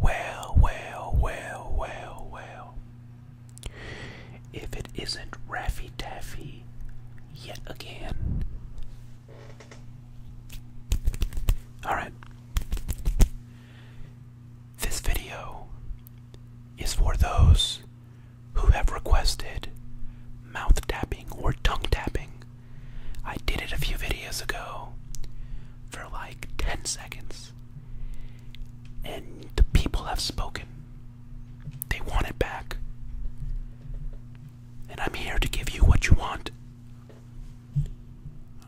Well, well, well, well, well. If it isn't Raffy Taffy yet again. Alright. This video is for those who have requested mouth tapping or tongue tapping I did it a few videos ago for like 10 seconds. And the people have spoken. They want it back. And I'm here to give you what you want.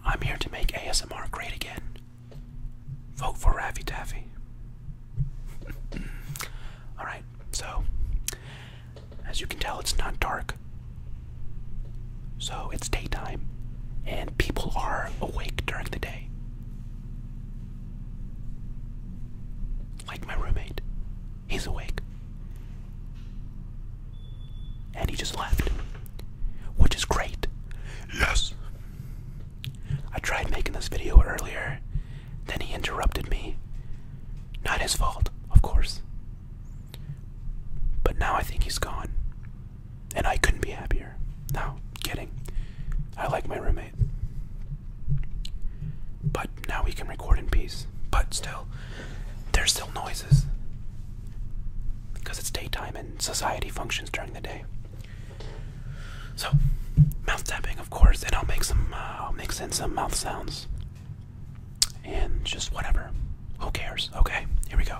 I'm here to make ASMR great again. Vote for Raffy Taffy. Alright, so as you can tell, it's not dark. So it's daytime, and people are awake during the day. Like my roommate, he's awake. And he just left, which is great. Yes! I tried making this video earlier, then he interrupted me. Not his fault, of course. But now I think he's gone. And I couldn't be happier. No, kidding. I like my roommate. But now we can record in peace. But still, there's still noises. Because it's daytime and society functions during the day. So, mouth tapping, of course, and I'll make some, uh, I'll mix in some mouth sounds and just whatever. Who cares? Okay, here we go.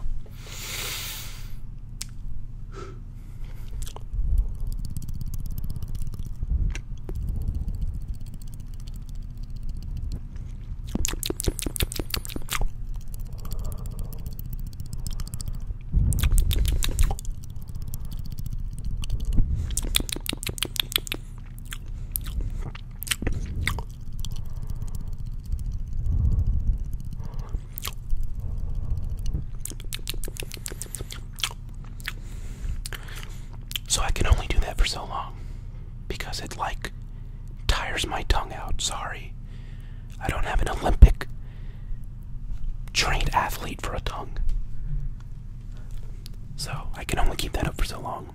So I can only do that for so long because it like tires my tongue out. Sorry. I don't have an Olympic trained athlete for a tongue. So I can only keep that up for so long.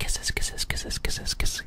Kisses, kisses, kisses, kisses, kisses.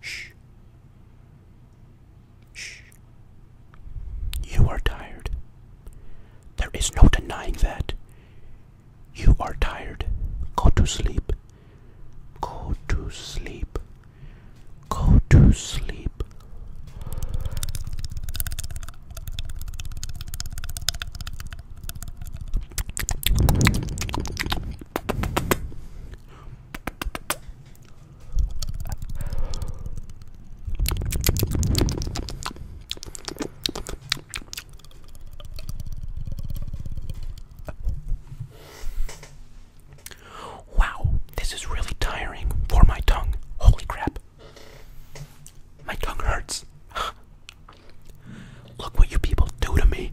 Shh. Shh. You are tired. There is no denying that. You are tired. Go to sleep. Go to sleep. Go to sleep. Wow, this is really tiring for my tongue. Holy crap. My tongue hurts. Look what you people do to me.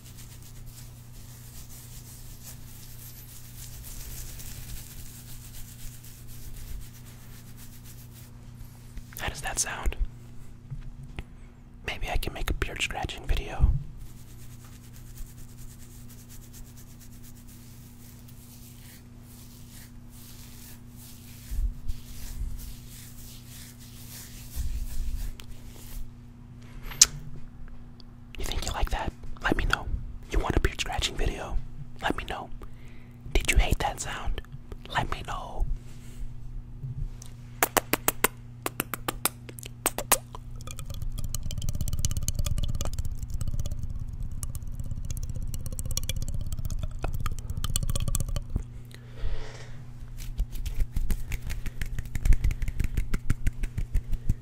How does that sound? Maybe I can make a beard scratching video. You think you like that? Let me know. You want a beard scratching video? Let me know. Did you hate that sound? Let me know.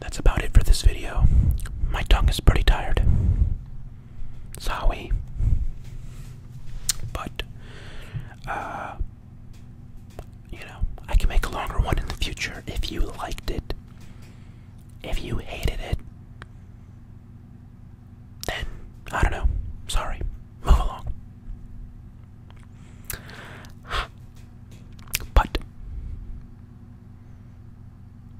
that's about it for this video. My tongue is pretty tired. Sorry. But, uh, you know, I can make a longer one in the future if you liked it. If you hated it, then I don't know. Sorry. Move along. But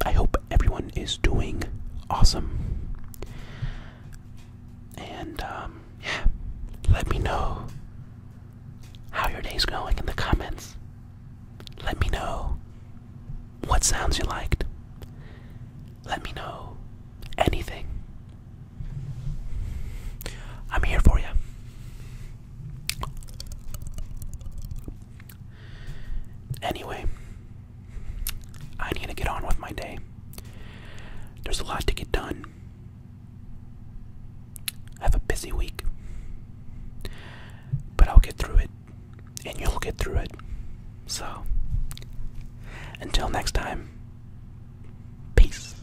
I hope everyone is doing awesome. And um, yeah, let me know how your day's going in the comments. Let me know what sounds you liked. Let me know anything. I'm here for you. Anyway, I need to get on with my day. There's a lot to get done. I have a busy week. But I'll get through it, and you'll get through it. So, until next time, peace.